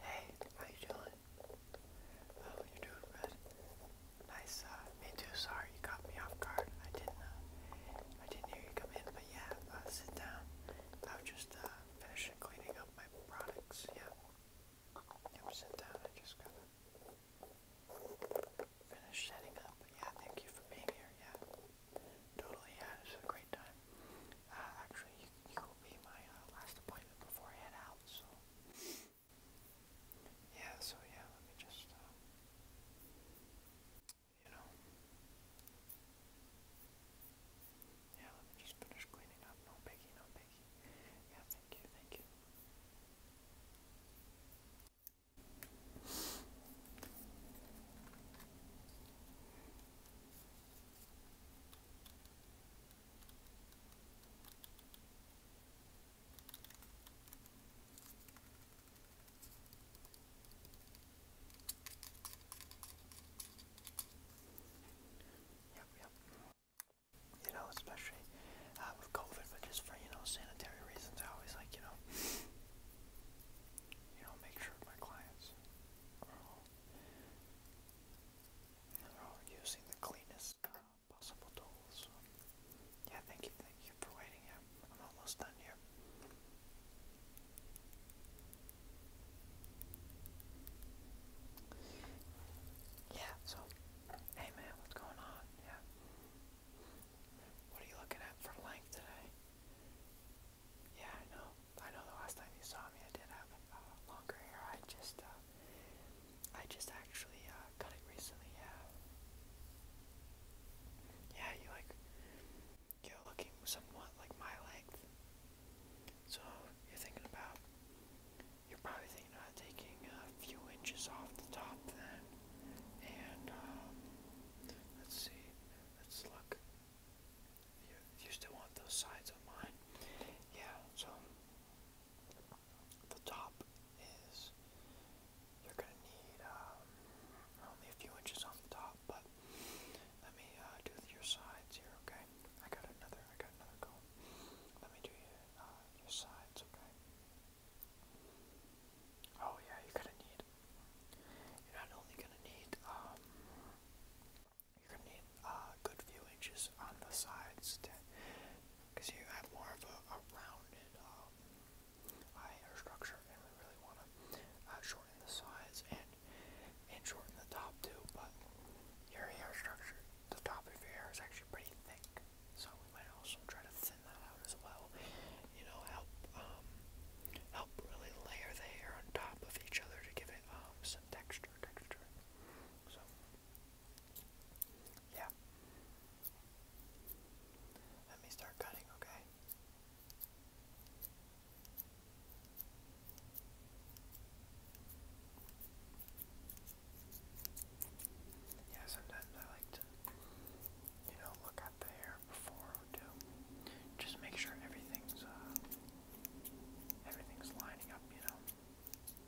Hey, how you doing? Oh, you're doing good. Nice, uh, me too. Sorry, you caught me off guard. I didn't, uh, I didn't hear you come in, but yeah, sit down. I was just, uh, cleaning up my products, yeah. Yep, sit down. I just gotta setting up. Yeah, thank you for being here, yeah. Totally, yeah, this a great time. actually, it will be my uh, last appointment before I head out, so. Yeah, so yeah, let me just, uh, you know. Yeah, let me just finish cleaning up. No biggie, no biggie. Yeah, thank you, thank you. Yep, You know, especially uh, with COVID, but just for, you know, sanitary reasons, I always like, you know, you know, make sure my clients and are all using the cleanest uh, possible tools. Yeah, thank you, thank you for waiting. Yeah, I'm almost done here. Yeah, so, hey man, what's going on? Yeah. What are you looking at for length today? Yeah, I know. I know the last time you saw me, I did have uh, longer hair. I just, uh, I just actually uh, cut it recently. Yeah, yeah. You like, you're looking somewhat like my length. So you're thinking about, you're probably thinking about taking a few inches off the top then, and um, let's see, let's look. You, still want those sides of mine? Yeah, so the top is you're gonna need um, only a few inches on the top, but let me uh, do your sides here, okay? I got another, I got another comb. Let me do your, uh, sides, okay? Oh yeah, you're gonna need. You're not only gonna need um, you're gonna need uh, good few inches on the sides because you have more of a, rounded hair um, structure, and we really want to uh, shorten the sides and and shorten the top too. But your hair structure, the top of your hair is actually pretty thick, so we might also try to thin that out as well. You know, help um, help really layer the hair on top of each other to give it um, some texture, texture. So. Yeah. Let me start cutting, okay? Yeah, sometimes I like to, you know, look at the hair before too. Just make sure everything's uh, everything's lining up, you know.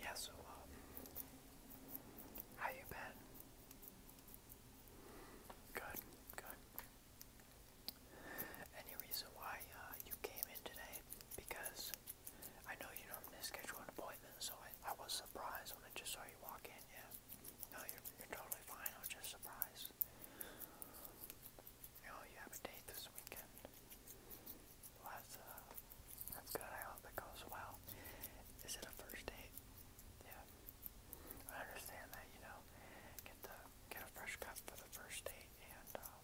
Yeah, so, um, how you been? Good, good. Any reason why uh, you came in today? Because I know you normally schedule an appointment, so I, I was surprised when I just saw you walk in, yeah. No, you're, you're totally fine, I was just surprised. You know, you have a date this weekend that's, uh, that's good. I hope it goes well. Is it a first date? Yeah. I understand that, you know, get the get a fresh cut for the first date and um,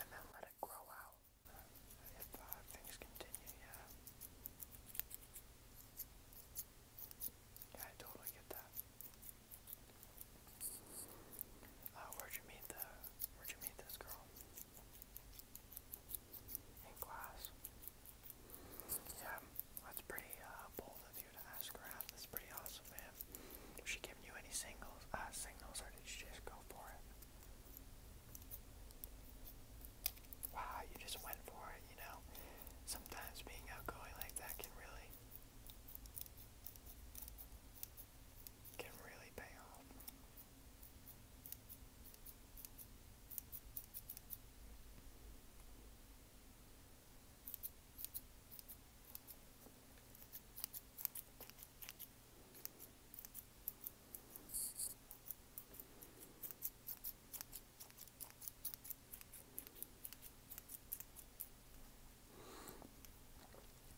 and then let it grow out if uh, things continue. Yeah. Yeah, I totally get that. Uh, where'd you meet the Where'd you meet this girl? in class. Yeah, that's pretty uh, bold of you to ask her out. That's pretty awesome, man. Was she giving you any singles, uh, signals, or did you just go for it? Wow, you just went for it, you know? Sometimes being outgoing like that can really, can really pay off.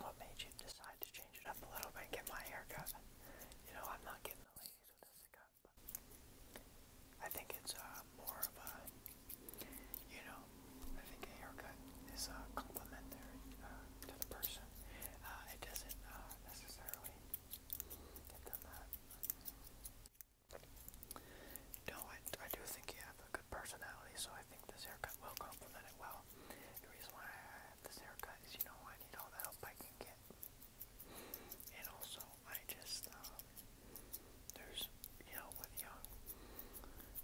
What made you decide to change it up a little bit get my hair You know, I'm not getting the ladies with this cut, but I think it's uh, more of a, you know, I think a haircut is uh, complimentary to the person. Uh, it doesn't uh, necessarily get them that. No, I, I do think you have a good personality, so I think this haircut will complement it well. The reason why I have this haircut is, you know, I need all the help I can get. And also, I just, um, there's, you know, with young,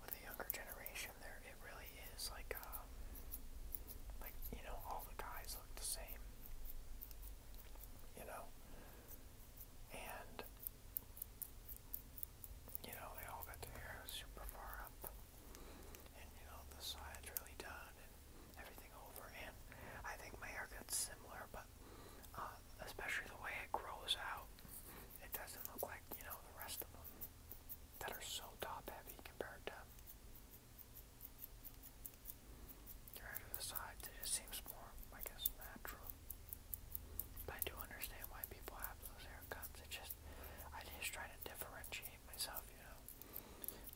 with the younger generation, there, it really is like, um, like, you know, all the guys look the same. You know? And, you know, they all got their hair super far up and you know the side's really done and everything over. And I think my haircut's similar, but uh, especially the way it grows out, it doesn't look like you know the rest of them that are so top heavy compared to. Right to the sides, it just seems more, I guess, natural. But I do understand why people have those haircuts. It's just, I just try to differentiate myself, you know.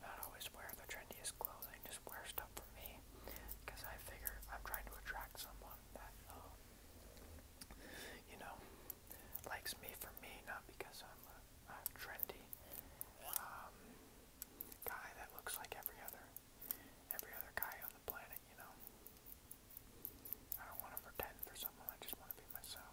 Not always wear the trendiest clothing, just wear stuff for me. Because I figure I'm trying to attract someone that, um, you know, likes me for me, not because I'm a, trendy um, guy that looks like every other every other guy on the planet, you know. I don't want to pretend for someone, I just want to be myself.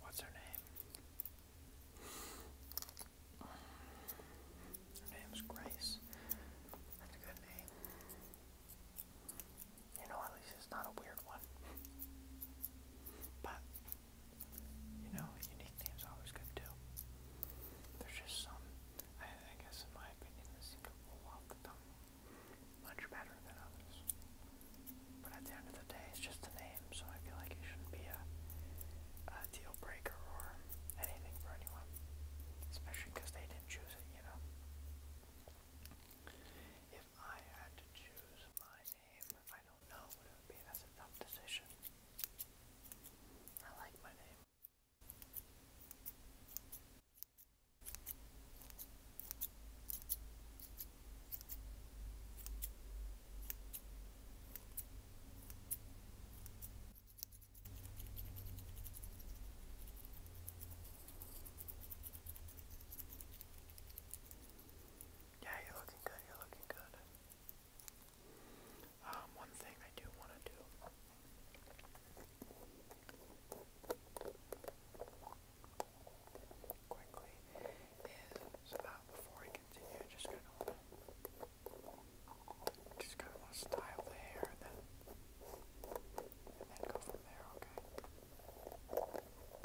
What's her name? Her name's Grace. That's a good name. You know, at least it's not a weird one. But, you know, unique name's always good too. There's just some, I, guess in my opinion, that seem to roll much better than others. But at the end of the day, it's just a name, so I feel like it shouldn't be a, deal breaker or anything for anyone. Especially because they didn't choose it, you know? If I had to choose my name. I don't know it would be. That's a tough decision. I like my name. Yeah, you're looking good, you're looking good. Um, one thing I do want to do. Quickly is before I continue, just kind of just kind of style the hair and then and then go from there. Okay.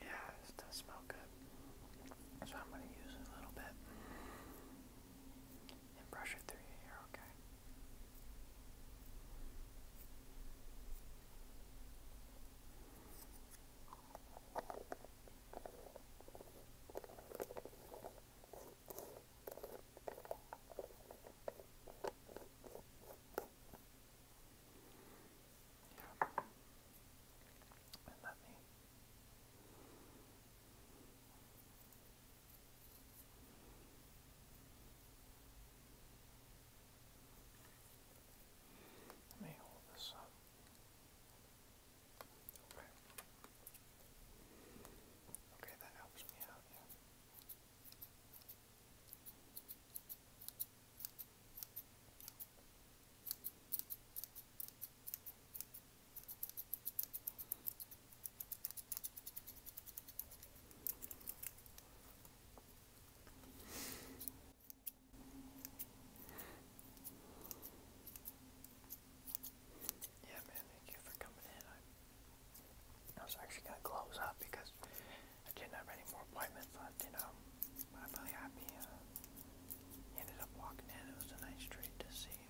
Yeah, it does smell good. So I'm going to use a little bit and brush it through your hair, Okay. Isn't Let me hold this up. Okay. Okay, that helps me out, yeah. Yeah, man, thank you for coming in. I, was actually going to close up because I didn't have any more appointments left, you know. But I'm really happy. Uh, ended up walking in. It was a nice treat to see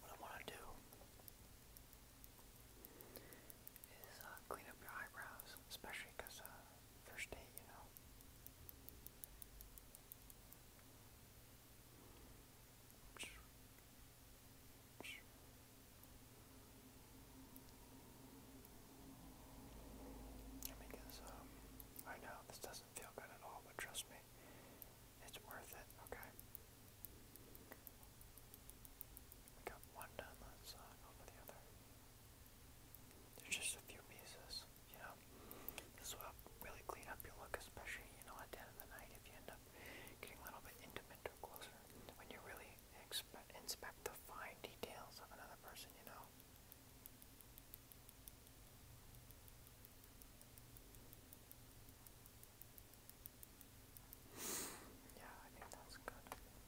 what I want to do is uh, clean up your eyebrows, especially because uh, first date, you know. Because um, I know this doesn't feel good at all, but trust me, it's worth it. Okay. We one done. Let's uh, the other. There's just a few pieces, you know. This will really clean up your look, especially, you know, at the end of the night if you end up getting a little bit intimate or closer. When you really expect, inspect the fine details of another person, you know. Yeah, I think that's good.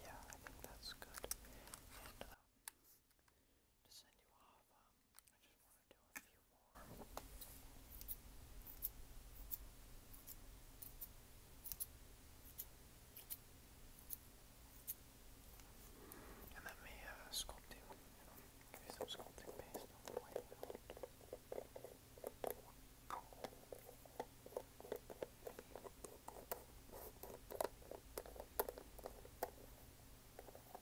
Yeah, I think that's good. And, uh, to you um, And let me uh, sculpt you. give you some sculpting paste on the white wheel. There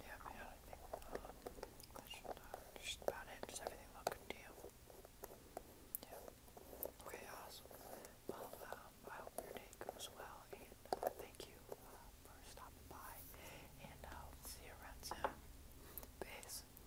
Yeah, uh, yeah, Okay, awesome. Well, um, I hope your day goes well, and uh, thank you uh, for stopping by, and I'll see you around soon. Peace.